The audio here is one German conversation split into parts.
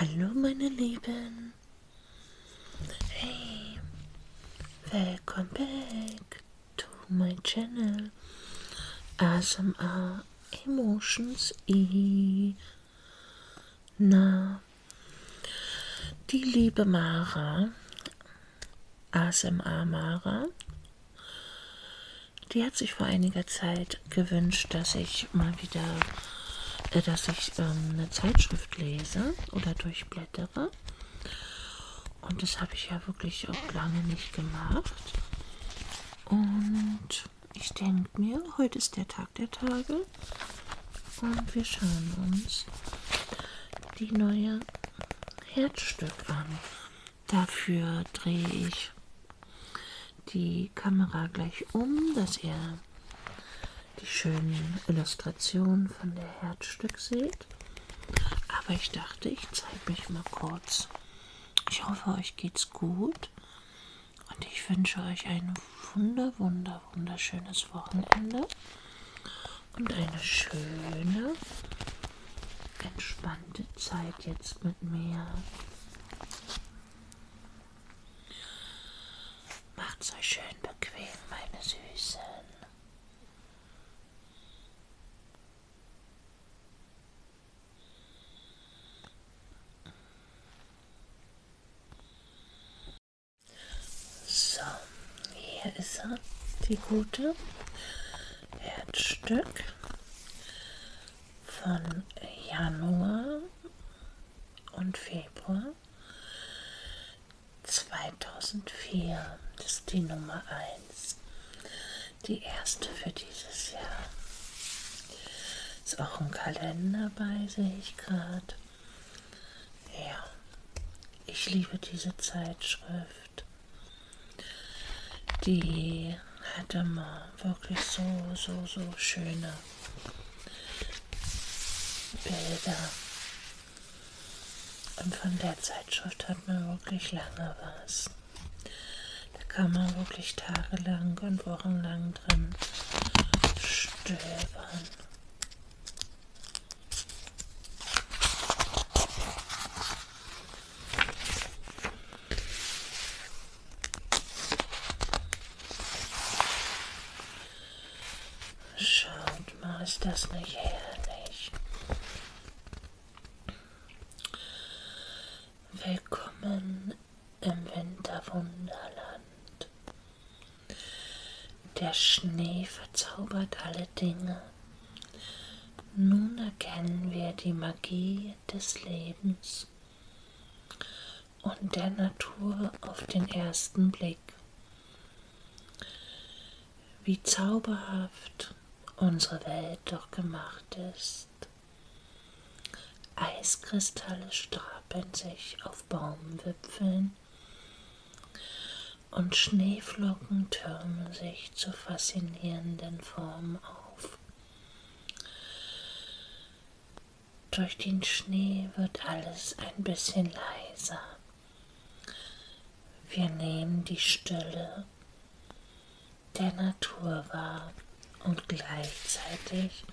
Hallo meine Lieben. Hey, welcome back to my channel ASMR Emotions E. now. Die liebe Mara, ASMR Mara, die hat sich vor einiger Zeit gewünscht, dass ich mal wieder, äh, dass ich ähm, eine Zeitschrift lese oder durchblättere. Und das habe ich ja wirklich auch lange nicht gemacht. Und ich denke mir, heute ist der Tag der Tage. Und wir schauen uns die neue Herzstück an. Dafür drehe ich die Kamera gleich um, dass ihr die schönen Illustrationen von der Herzstück seht. Aber ich dachte, ich zeige mich mal kurz. Ich hoffe, euch geht's gut und ich wünsche euch einen wunder, wunder, wunderbar wunderschönes Wochenende und eine schöne, entspannte Zeit jetzt mit mir. Macht's euch schön bequem, meine Süßen. So, hier ist er, die gute Herzstück von Januar und Februar 2004. Das ist die Nummer 1. Die erste für dieses Jahr. Ist auch ein Kalender bei, sehe ich gerade. Ja, ich liebe diese Zeitschrift. Die hat immer wirklich so, so, so schöne Bilder. Und von der Zeitschrift hat man wirklich lange was. Da kann man wirklich tagelang und wochenlang drin stöbern. Schaut mal, ist das nicht herrlich? Willkommen im Winterwunderland. Der Schnee verzaubert alle Dinge. Nun erkennen wir die Magie des Lebens und der Natur auf den ersten Blick. Wie zauberhaft unsere Welt doch gemacht ist. Eiskristalle stapeln sich auf Baumwipfeln Wolken und Schneeflocken türmen sich zu faszinierenden Formen auf. Durch den Schnee wird alles ein bisschen leiser. Wir nehmen die Stille der Natur wahr und gleichzeitig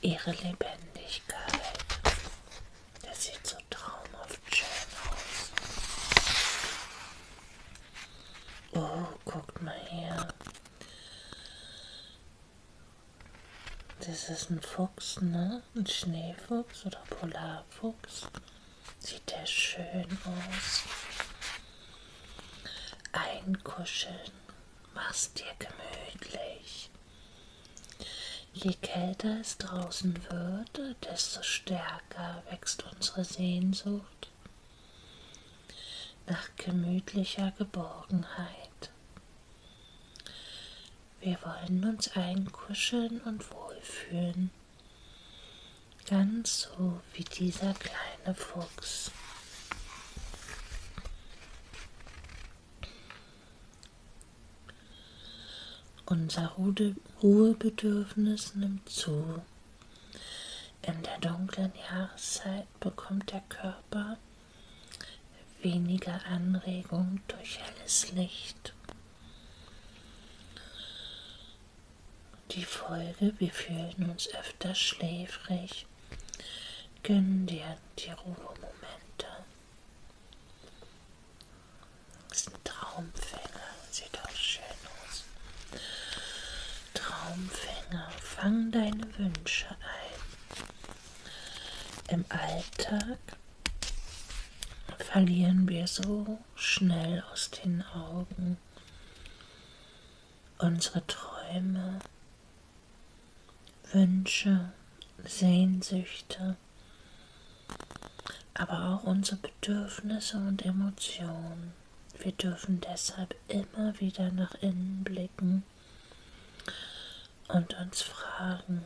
ihre Lebendigkeit. Lebendigkeit. Das sieht so traumhaft schön aus. Oh, guckt mal her. Das ist ein Fuchs, ne? Ein Schneefuchs oder Polarfuchs. Sieht der schön aus. Einkuscheln. Mach's dir gemütlich. Je kälter es draußen wird, desto stärker wächst unsere Sehnsucht nach gemütlicher Geborgenheit. Wir wollen uns einkuscheln und wohlfühlen, ganz so wie dieser kleine Fuchs. Unser Ruhebedürfnis nimmt zu. In der dunklen Jahreszeit bekommt der Körper weniger Anregung durch helles Licht. Die Folge, wir fühlen uns öfter schläfrig ruhig. Gönn dir die Ruhemomente. Das ist ein Traumfänger. Sieht auch schön aus. Traumfänger, fang deine Wünsche ein. Im Alltag verlieren wir so schnell aus den Augen unsere Träume, Wünsche, Sehnsüchte, aber auch unsere Bedürfnisse und Emotionen. Wir dürfen deshalb immer wieder nach innen blicken und uns fragen,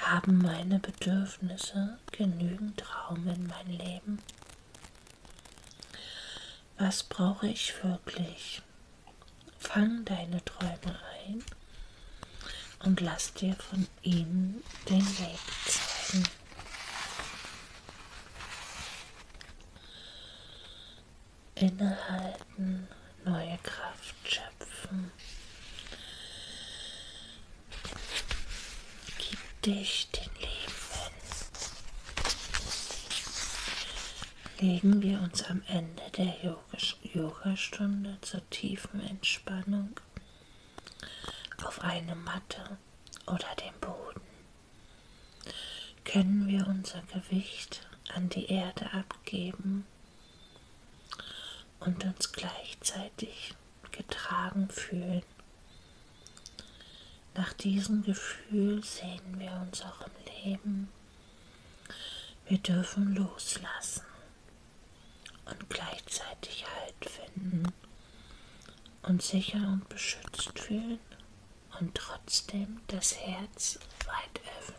haben meine Bedürfnisse genügend Raum in mein Leben? Was brauche ich wirklich? Fang deine Träume ein und lass dir von ihnen den Weg zeigen. Innehalten, neue Kraft schöpfen. Gib dich den Leben legen wir uns am Ende der Yogastunde zur tiefen Entspannung auf eine Matte oder den Boden. Können wir unser Gewicht an die Erde abgeben und uns gleichzeitig getragen fühlen. Nach diesem Gefühl sehnen wir uns auch im Leben. Wir dürfen loslassen und gleichzeitig Halt finden und sicher und beschützt fühlen und trotzdem das Herz weit öffnen.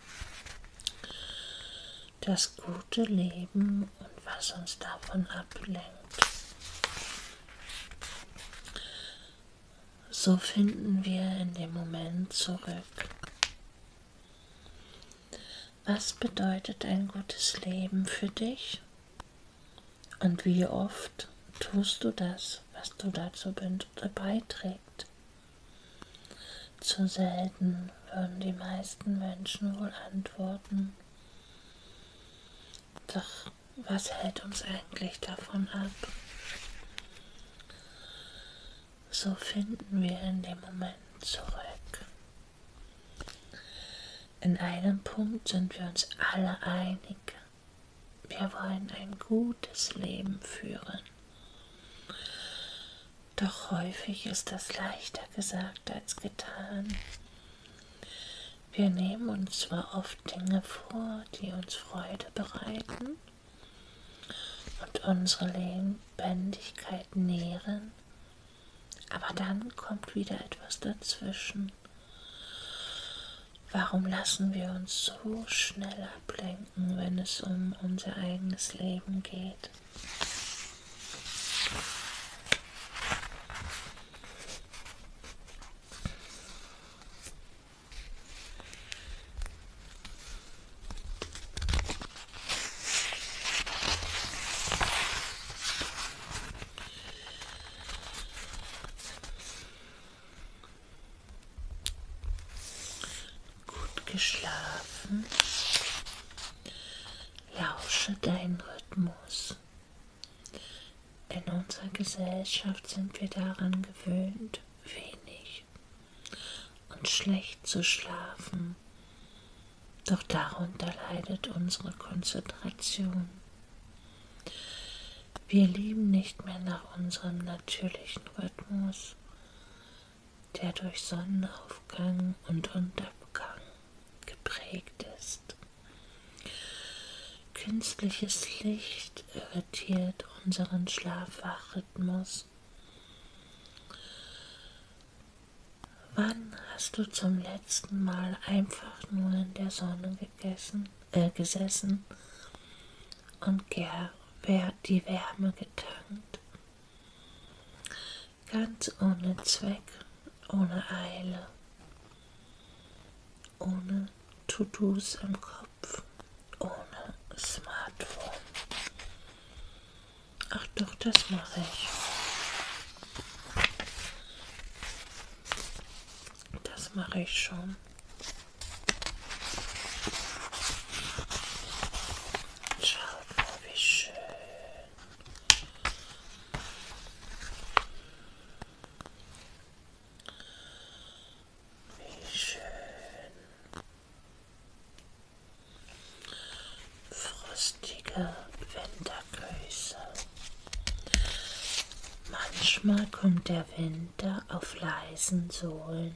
das gute Leben und was uns davon ablenkt. So finden wir in dem Moment zurück. Was bedeutet ein gutes Leben für dich? Und wie oft tust du das, was du dazu beiträgst? trägt. Zu selten würden die meisten Menschen wohl antworten. Doch was hält uns eigentlich davon ab? So finden wir in dem Moment zurück. In einem Punkt sind wir uns alle einig. Wir wollen ein gutes Leben führen. Doch häufig ist das leichter gesagt als getan. Wir nehmen uns zwar oft Dinge vor, die uns Freude bereiten und unsere Lebendigkeit nähren, aber dann kommt wieder etwas dazwischen Warum lassen wir uns so schnell ablenken, wenn es um unser eigenes Leben geht? Gut geschlafen. Lausche deinen Rhythmus. In unserer Gesellschaft sind wir daran gewöhnt, wenig und schlecht zu schlafen. Doch darunter leidet unsere Konzentration. Wir leben nicht mehr nach unserem natürlichen Rhythmus, der durch Sonnenaufgang und Untergang geprägt ist. Künstliches Licht irritiert unseren Schlafwachrhythmus. Wann hast du zum letzten Mal einfach nur in der Sonne gegessen, äh, gesessen und Ger die Wärme getankt. Ganz ohne Zweck, ohne Eile, ohne To-Dos im Kopf, ohne Smartphone. Ach doch, das mache ich. Das mache ich schon. Schaut mal, wie schön. Wie schön. Frostige Wintergrüße. Manchmal kommt der Wind Winter auf leisen Sohlen.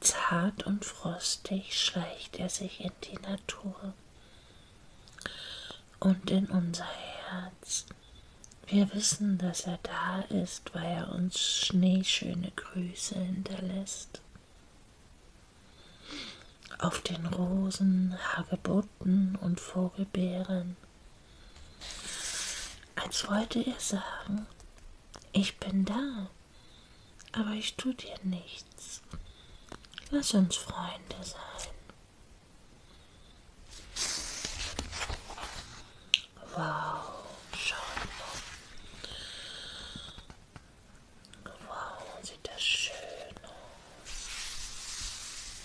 Zart und frostig schleicht er sich in die Natur und in unser Herz. Wir wissen, dass er da ist, weil er uns schneeschöne Grüße hinterlässt. Auf den Rosen, Hagebutten und Vogelbeeren als wollte er sagen, ich bin da, aber ich tue dir nichts. Lass uns Freunde sein. Wow, schau mal. Wow, sieht das schön aus.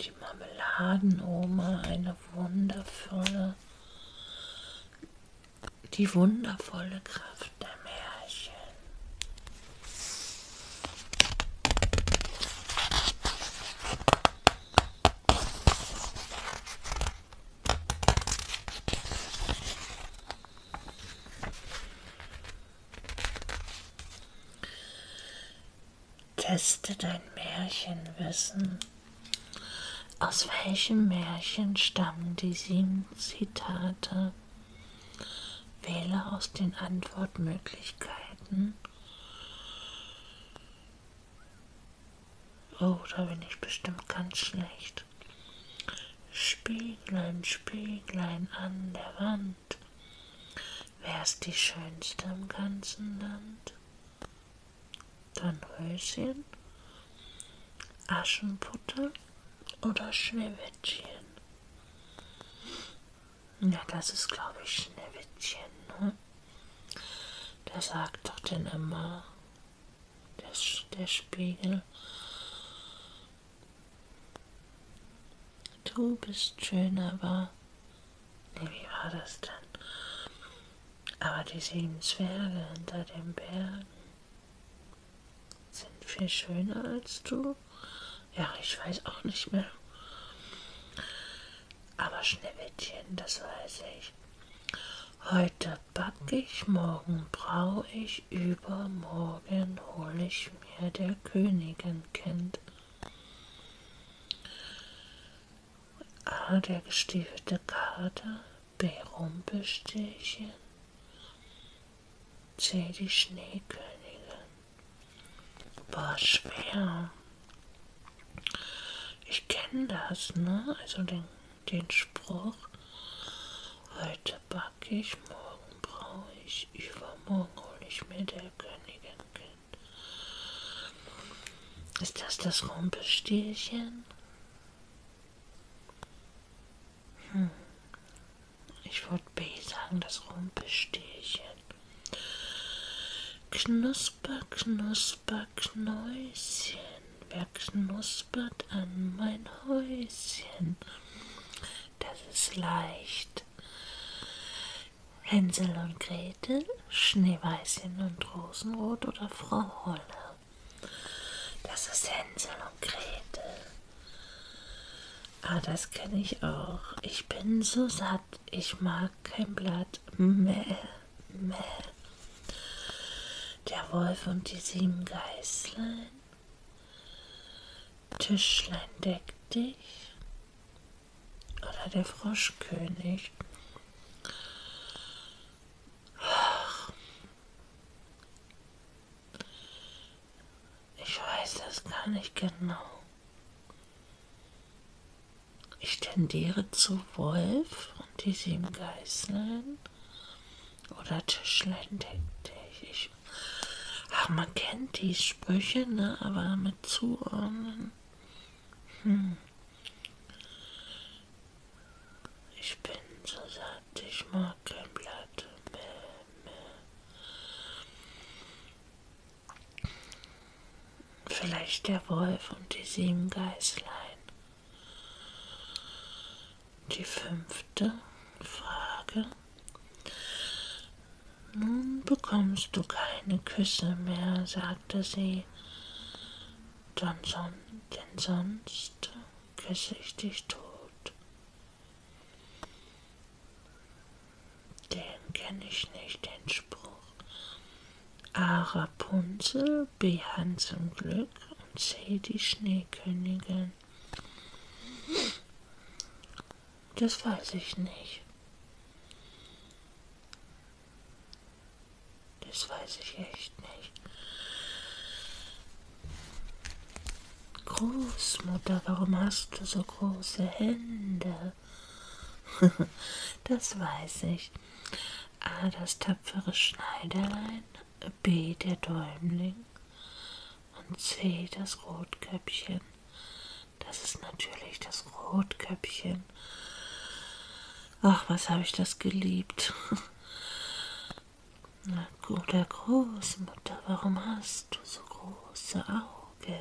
Die Marmeladenoma, eine wundervolle, die wundervolle Kraft der Märchen. Teste dein Märchenwissen. Aus welchem Märchen stammen die sieben Zitate? Wähle aus den Antwortmöglichkeiten. Oh, da bin ich bestimmt ganz schlecht. Spieglein, Spieglein an der Wand, Wer ist die schönste im ganzen Land? Dornröschen, Aschenputtel oder Schneewittchen? Ja, das ist, glaube ich, Schneewittchen. Ne? Der sagt doch denn immer, der, der Spiegel, du bist schön, aber Ne, wie war das denn? Aber die sieben Zwerge hinter den Bergen sind viel schöner als du. Ja, ich weiß auch nicht mehr. Aber Schneewittchen, das weiß ich. Heute backe ich, morgen brau ich, übermorgen hol ich mir der Königin Kind. A. Ah, der gestiefelte Kater. B. Rumpelstilchen. C. Die Schneekönigin. Boah, schwer. Ich kenne das, ne? Also den, den Spruch. Heute backe ich, morgen brauche ich, übermorgen hole ich mir der Königin. Ist das das Rumpelstilchen? Hm. Ich würde B sagen, das Rumpelstilchen. Knusper, knusper, Knäuschen, wer knuspert an mein Häuschen? Das ist leicht. Hänsel und Gretel, Schneeweißchen und Rosenrot oder Frau Holle. Das ist Hänsel und Gretel. Ah, das kenne ich auch. Ich bin so satt, ich mag kein Blatt. Mäh, mäh. Der Wolf und die sieben Geißlein. Tischlein deck dich. Oder der Froschkönig. Ich weiß das gar nicht genau. Ich tendiere zu Wolf und die sieben Geißeln oder Tischlein, denke ich. Ach, man kennt die Sprüche, ne? aber mit zuordnen. Hm. Ich bin so satt, ich mag kein Blatt mehr. mehr. Vielleicht der Wolf und die sieben Geißlein. Die fünfte Frage. Nun bekommst du keine Küsse mehr, sagte sie, denn, son denn sonst küsse ich dich tot. Den kenne ich nicht, den Spruch. A. Rapunzel, B. Hans im Glück und C. die Schneekönigin. Das weiß ich nicht. Das weiß ich echt nicht. Großmutter, warum hast du so große Hände? das weiß ich. A, das tapfere Schneiderlein. B, der Däumling. Und C, das Rotkäppchen. Das ist natürlich das Rotkäppchen. Ach, was habe ich das geliebt. Na guter Großmutter, warum hast du so große Augen?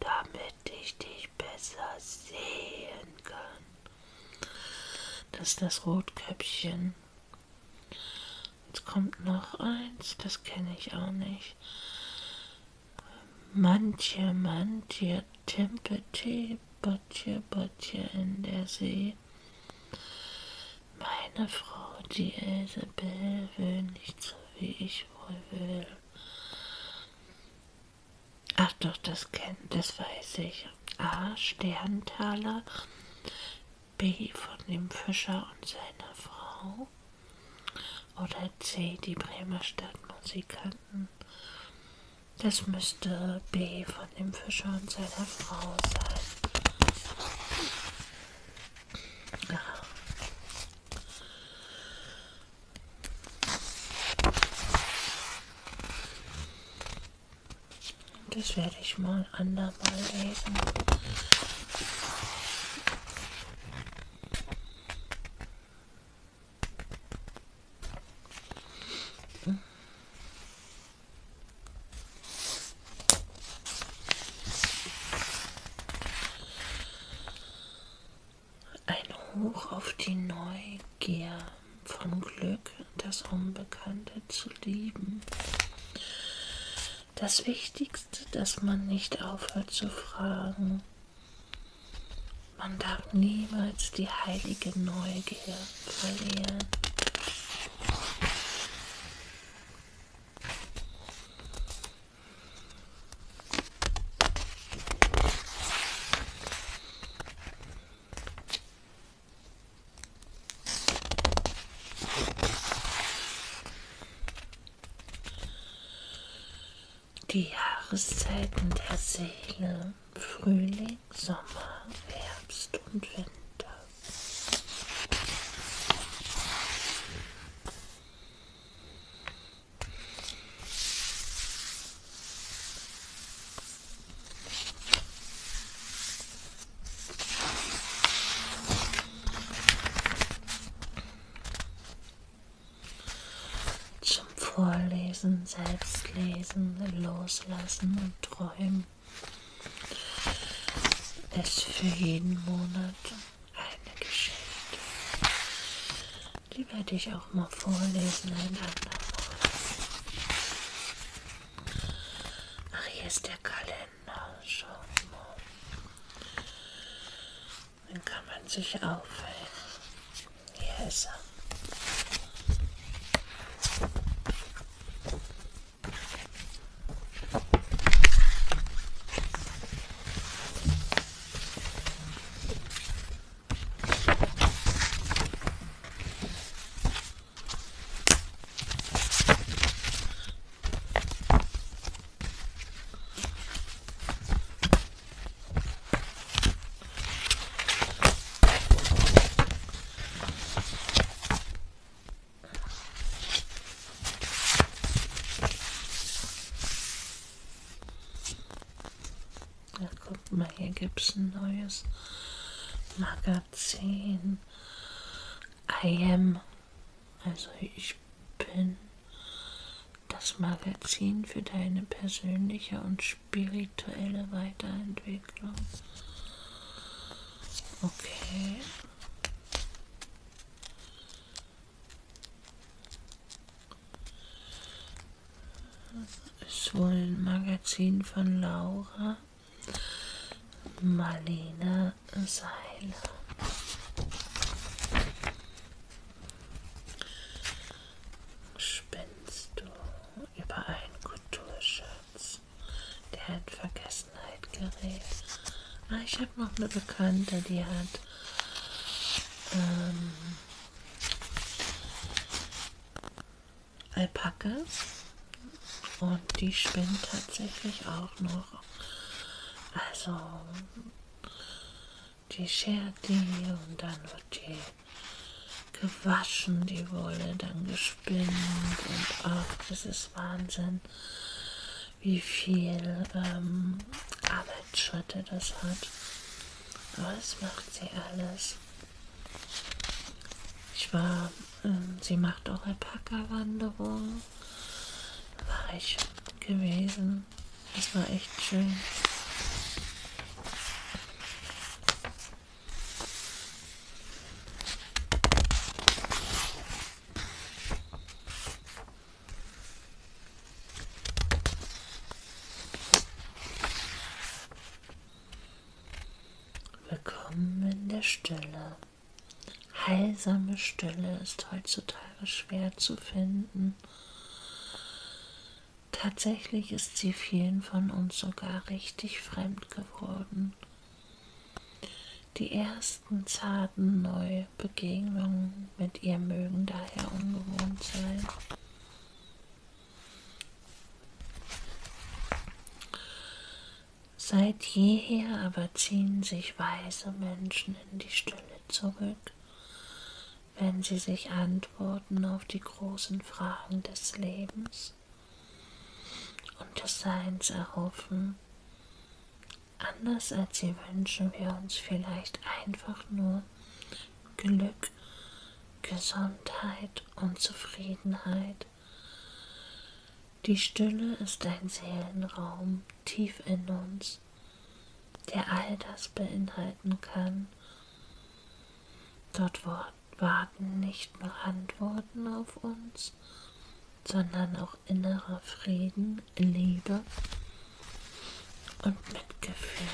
Damit ich dich besser sehen kann. Das ist das Rotkäppchen. Jetzt kommt noch eins, das kenne ich auch nicht. Manche, manche Timpeti, Botje, Botje in der See. Meine Frau, die Isabel, will nicht so, wie ich wohl will. Ach doch, das kennt, das weiß ich. A. Sterntaler, B. von dem Fischer und seiner Frau, oder C, die Bremer Stadtmusikanten. Das müsste B von dem Fischer und seiner Frau sein. Ja. Das werde ich mal andermal lesen. Ein Hoch auf die Neugier von Glück, das Unbekannte zu lieben das Wichtigste, dass man nicht aufhört zu fragen. Man darf niemals die heilige Neugier verlieren. Die Jahreszeiten der Seele, Frühling, Sommer, Herbst und Winter. Zum Vorlesen, Selbstlesen, Loslassen und Träumen ist für jeden Monat eine Geschichte. Die werde ich auch mal vorlesen ein andermal. Ach, hier ist der Kalender. Genau, schau mal. Dann kann man sich aufhängen. Hier ist er. Ja, guck mal, hier gibt es ein neues Magazin. I am also ich bin das Magazin für deine persönliche und spirituelle Weiterentwicklung. Okay. Ist wohl ein Magazin von Laura, Marlene Seile. Spinnst du über einen Kulturschatz, der in Vergessenheit gerät? Ah, ich habe noch eine Bekannte, die hat ähm, Alpakas und die spinnen tatsächlich auch noch. Also die schert die und dann wird die gewaschen, die Wolle dann gespinnt und auch das ist Wahnsinn, wie viel ähm, Arbeitsschritte das hat. Aber das macht sie alles. Ich war ähm, sie macht auch Alpaka-Wanderungen. War ich gewesen. Das war echt schön. Willkommen in der Stille. Heilsame Stille ist heutzutage schwer zu finden. Tatsächlich ist sie vielen von uns sogar richtig fremd geworden. Die ersten zarten Neubegegnungen mit ihr mögen daher ungewohnt sein. Seit jeher aber ziehen sich weise Menschen in die Stille zurück, wenn sie sich Antworten auf die großen Fragen des Lebens und des Seins erhoffen. Anders als sie wünschen wir uns vielleicht einfach nur Glück, Gesundheit und Zufriedenheit, die Stille ist ein Seelenraum tief in uns, der all das beinhalten kann. Dort warten nicht nur Antworten auf uns, sondern auch innerer Frieden, Liebe und Mitgefühl.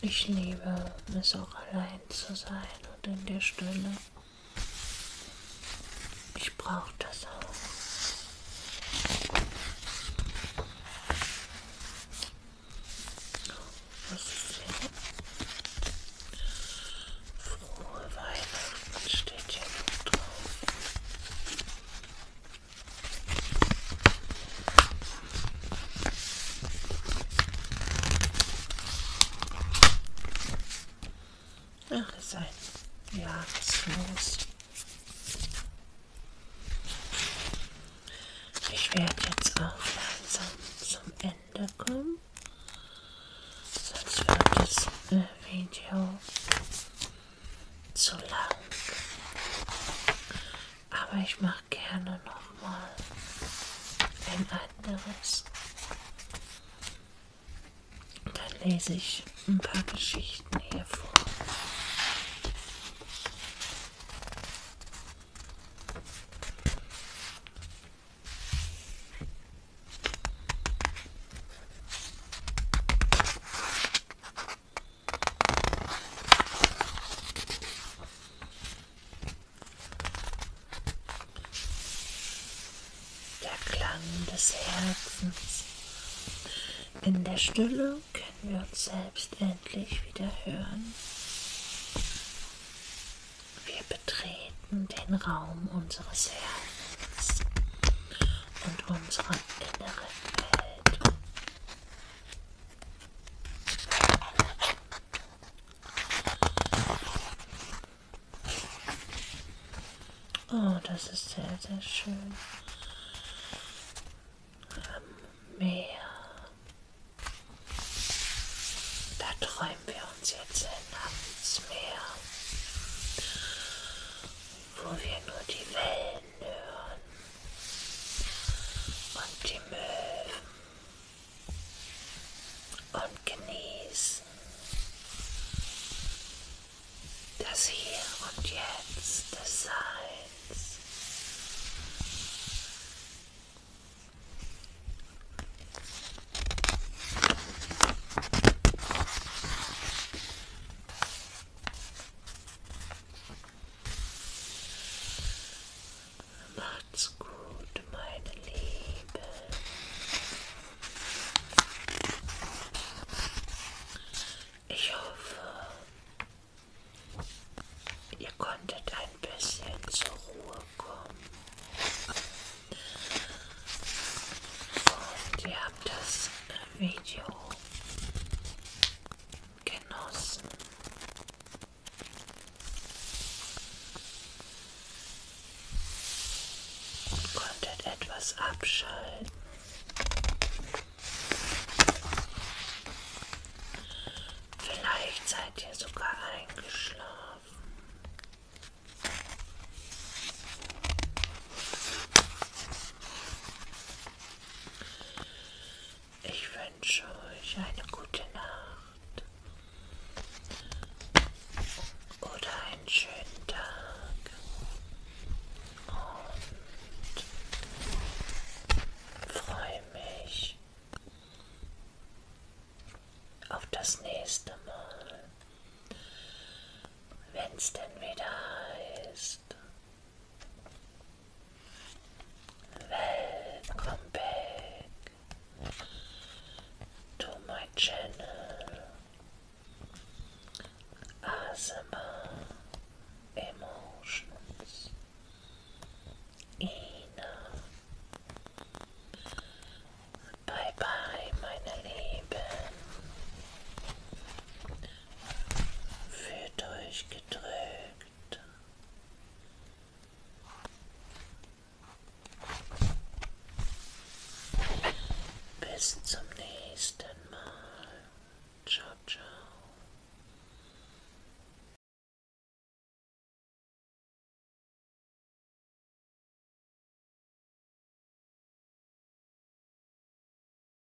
Ich liebe es auch allein zu sein und in der Stille. Ich brauche das auch. Was ist denn? Frohe Weihnachten steht hier noch drauf. Ach, ist ein. Ja, was ist los? Ich werde jetzt auch langsam zum Ende kommen. Sonst wird das äh, Video zu lang. Aber ich mache gerne nochmal ein anderes. Dann lese ich ein paar Geschichten hier vor. Der Klang des Herzens. In der Stille können wir uns selbst endlich wieder hören. Wir betreten den Raum unseres Herzens und unserer inneren Welt. Oh, das ist sehr, sehr schön. Am ähm, Meer. Da träumen wir uns jetzt hin ans Meer, wo wir nur die Welt afternoon. On your move. On Das Hier und Jetzt des Seins. Macht's gut, meine Liebe. Ich hoffe, ihr konntet ein bisschen zur Ruhe kommen. Und ihr habt das Video genossen. Und konntet etwas abschalten. Vielleicht seid ihr sogar eingeschlafen. Ich wünsche euch eine gute Nacht oder einen schönen Tag und freue mich auf das nächste Mal, wenn es denn wieder heißt. Then come back to my channel Asthma Emotions Ina Bye bye meine Lieben wird euch gedrückt. Bis zum nächsten Mal. Ciao, ciao.